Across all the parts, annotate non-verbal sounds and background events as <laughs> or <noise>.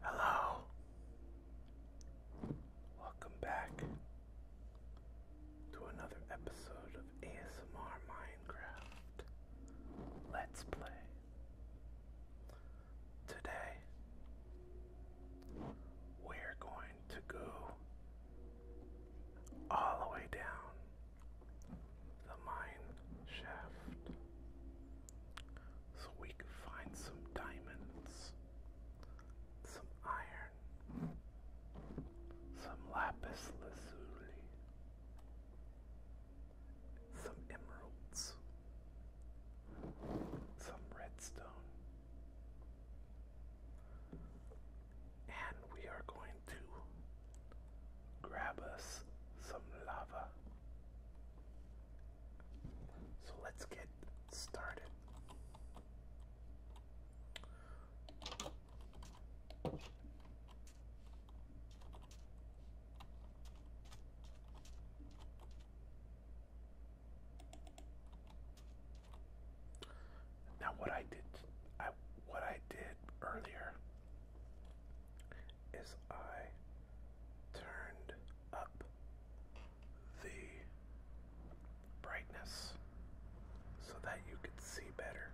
Hello. Welcome back to another episode of ASMR Minecraft Let's Play. Today, we're going to go all the way down the mine shaft so we can find some diamonds, some iron, some lapis lazuli, some emeralds, some redstone, and we are going to grab us some lava. So let's get started. Now what I did I what I did earlier is I turned up the brightness so that you could see better.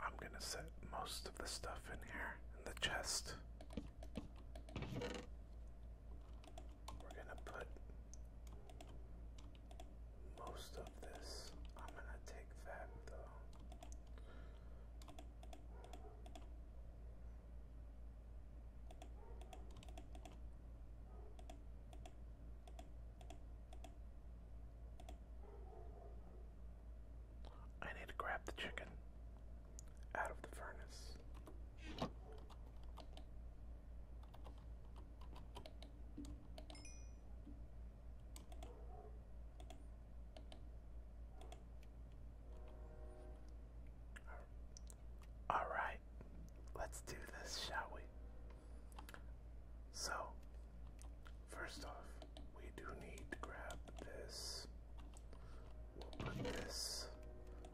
I'm going to set most of the stuff in here in the chest. We're going to put most of this. I'm gonna take back, though. I need to grab the chicken out of the furnace. All right, let's do this, shall we? So, first off, we do need to grab this. We'll put this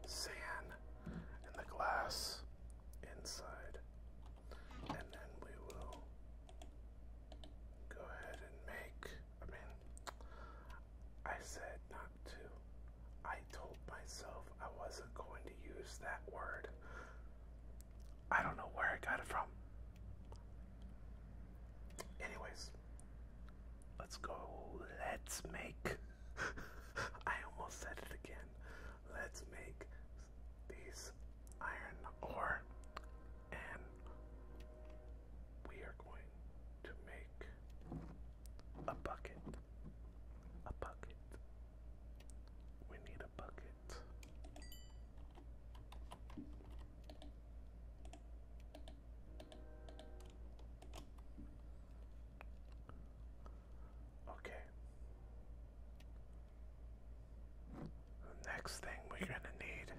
sand in the glass inside and then we will go ahead and make. I mean, I said not to. I told myself I wasn't going to use that word. I don't know where I got it from. Anyways, let's go. Let's make. <laughs> I almost said it again. Let's make these iron ore and we are going to make a bucket. A bucket. We need a bucket. Okay. next thing we're going to need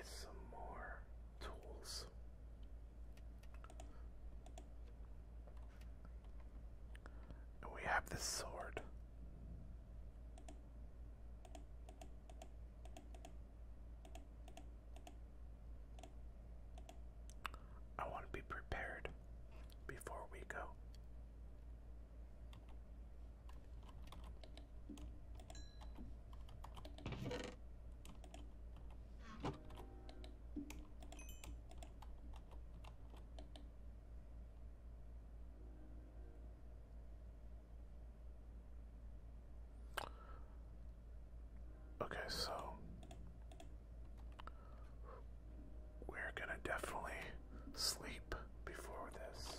is some more tools. we have this sword. I want to be prepared before we go. Okay, so we're gonna definitely sleep before this.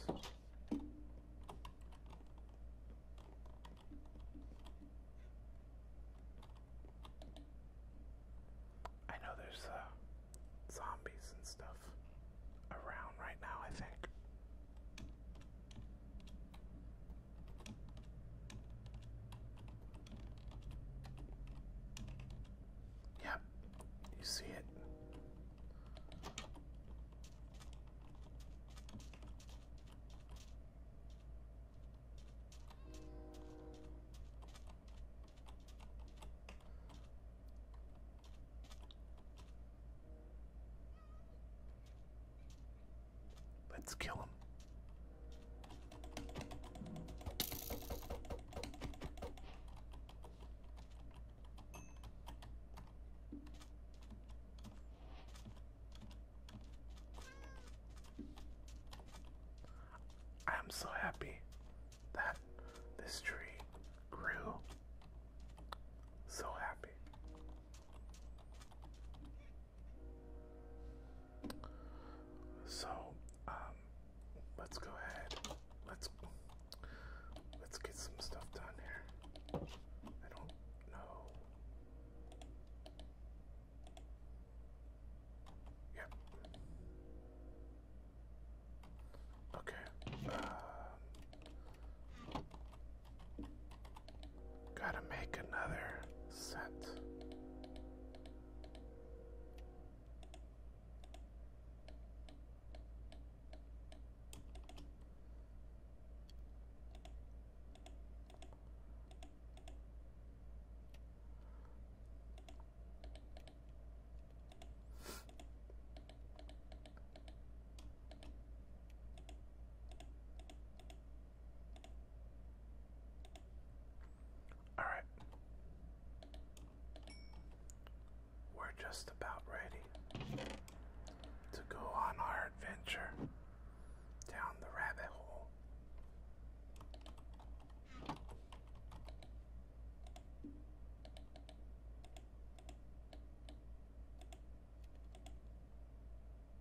I know there's uh, zombies and stuff around right now, I think. Yep, you see it. Let's kill him. I am so happy that this tree grew. So happy. So, um, let's go ahead. Let's let's get some stuff done here. I don't know. Yep. Okay. Um, Gotta make another scent. Alright. We're just about ready to go on our adventure down the rabbit hole.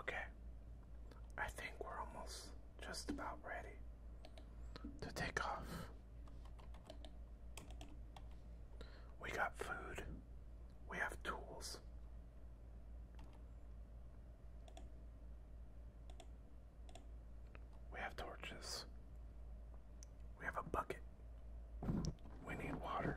Okay, I think we're almost just about ready to take off. We got food, we have tools. We have torches. We have a bucket. We need water.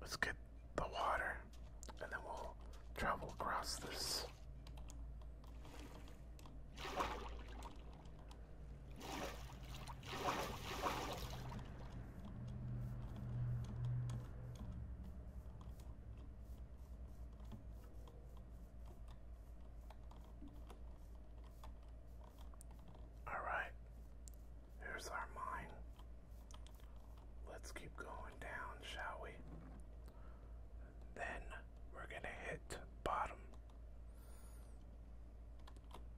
Let's get the water and then we'll travel across this. All right, here's our mine. Let's keep going down, shall we? Then we're going to hit bottom.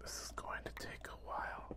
This is going to take a while.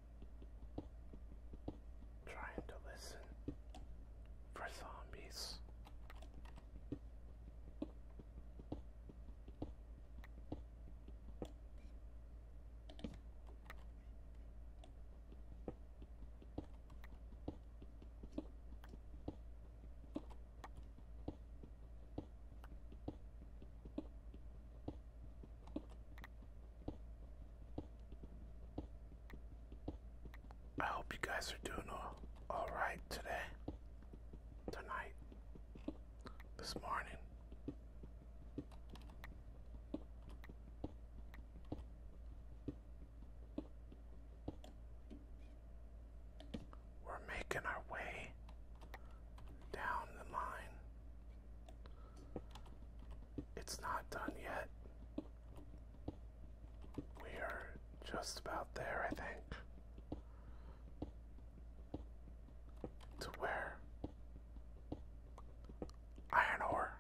Trying to listen for zombies. I hope you guys are doing all, all right today, tonight, this morning. We're making our way down the line it's not done yet. We are just about there, I think. To where iron ore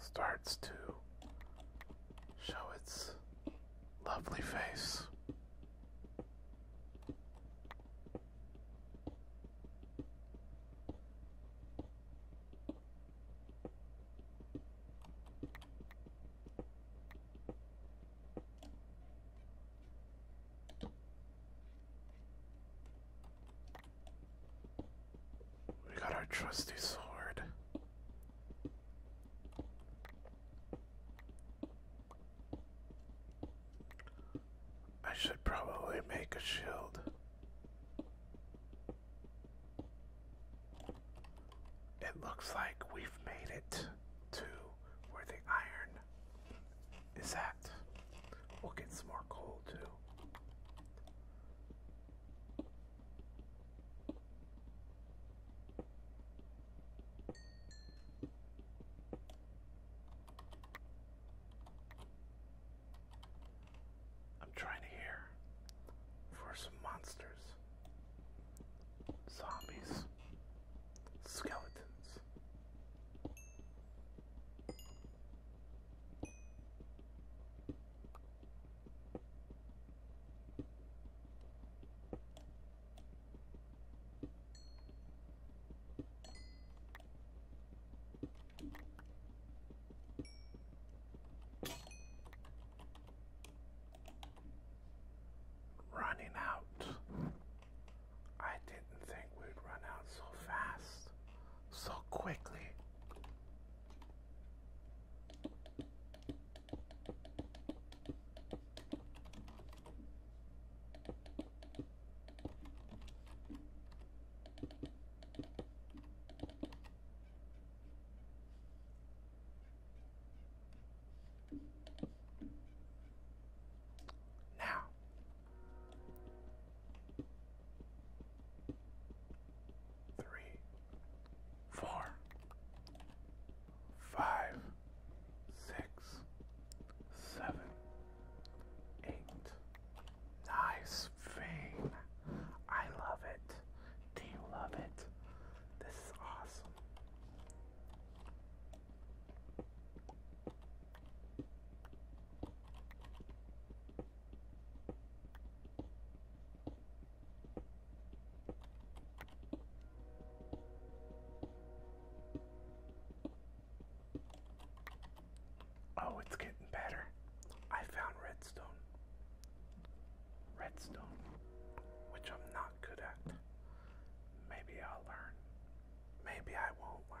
starts to show its lovely face. We got our trusty sword. I should probably make a shield. It looks like we've made it to where the iron is at. We'll get some more coal too. I'm trying to hear for some monsters, zombies, skeletons. Running out. I didn't think we'd run out so fast, so quickly. Now, three, four, five six, seven, eight. Nice vein. I love it. Do you love it? This is awesome. Oh, it's getting better. I found redstone. Redstone, which I'm not good at. Maybe I'll learn. Maybe I won't learn.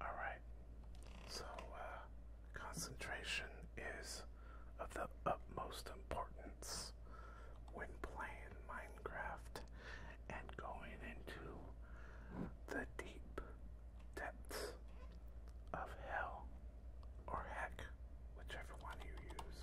All right. So uh, concentration is of the utmost importance when playing Minecraft and going into the deep depths of hell or heck, whichever one you use.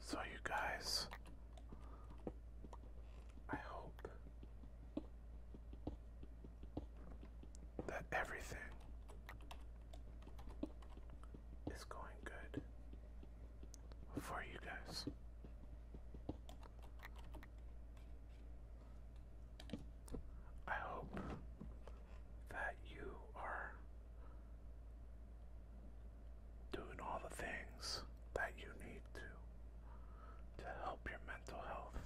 So, you guys, I hope that everything is going good for you guys. I hope that you are doing all the things that you need to to help your mental health.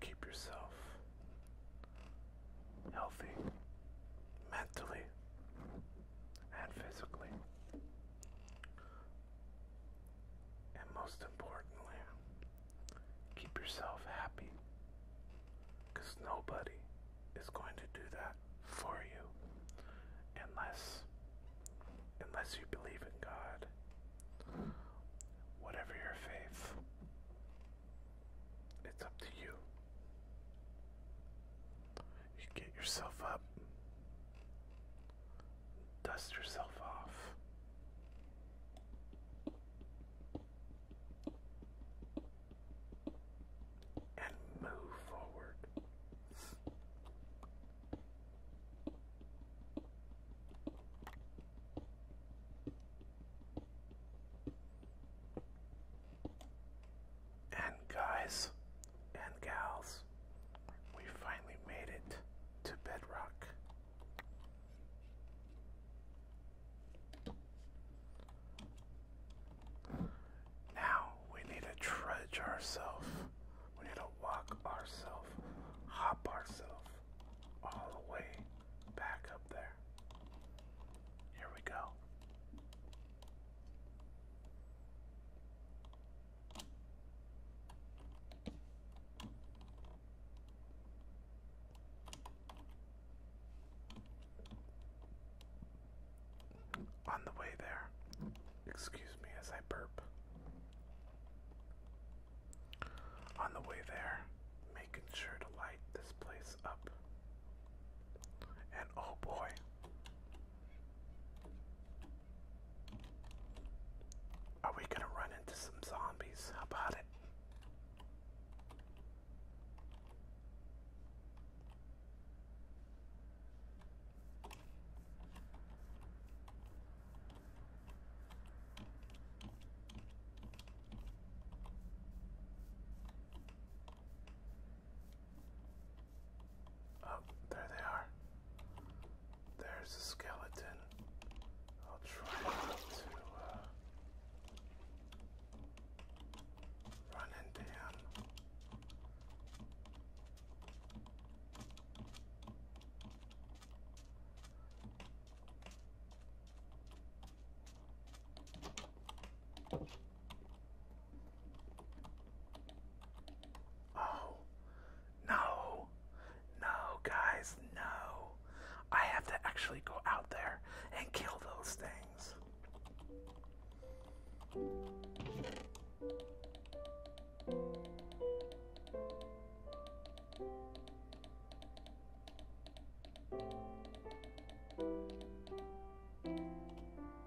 Keep yourself healthy mentally and physically. And most importantly, keep yourself happy. Because nobody is going to do that for you unless unless you believe in God. Whatever your faith, it's up to you. You get yourself up dust yourself off. And move forward. And guys, and gals, we finally made it to bedrock. Now we need to trudge ourselves. We need to walk ourselves, hop ourselves all the way back up there. Here we go. On the way there, excuse me as I burp. On the way there, making sure to light this place up. And oh boy, are we gonna run into some zombies? How about it? Oh, there they are. There's a skeleton. I'll try to uh, run into him. Oh, no, no, guys, no. I have to actually go out there and kill those things.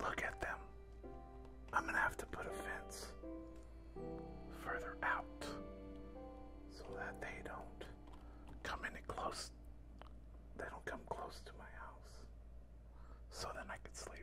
Look at them. I'm going to have to put a fence further out so that they don't come any close. They don't come close to my house. So then I could sleep.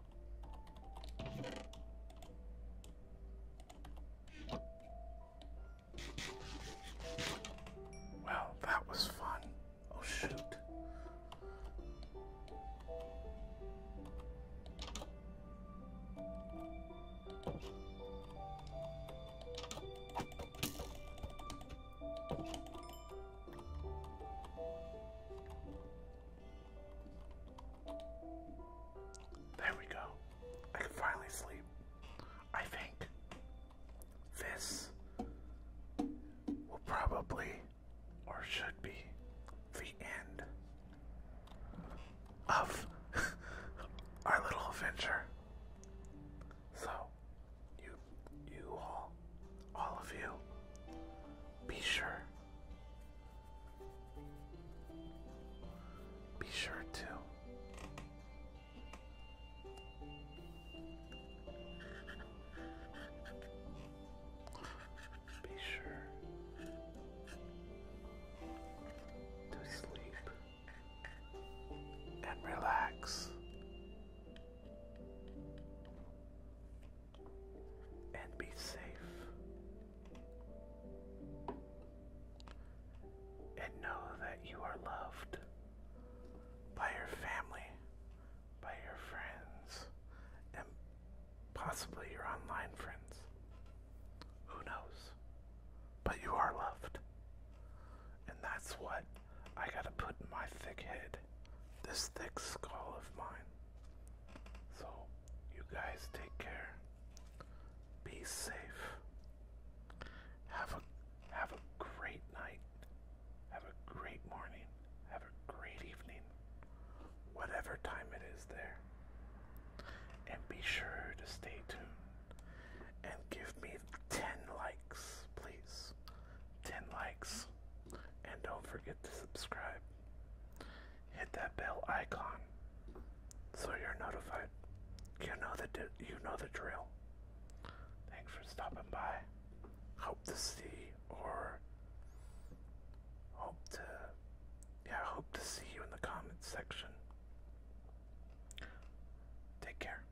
Well, that was fun. Oh, shoot. There we go. I can finally sleep. I think this will probably or should be the end of <laughs> our little adventure. So you you all all of you. Be sure. Be sure to be sure to sleep and relax and be safe. And know that you are loved by your family, by your friends, and possibly your online friends. Who knows? But you are loved. And that's what I gotta put my thick head, this thick skull of mine. So, you guys take care. Be safe. Have a have a great night. Have a great morning. Have a great evening. Whatever time it is there. And be sure to stay tuned and give me 10 likes likes, please. 10 likes. And don't forget to subscribe. Hit that bell icon so you're notified. You know the you know the drill. Thanks for stopping by. Hope to see or hope to yeah, hope to see you in the comments section. Take care.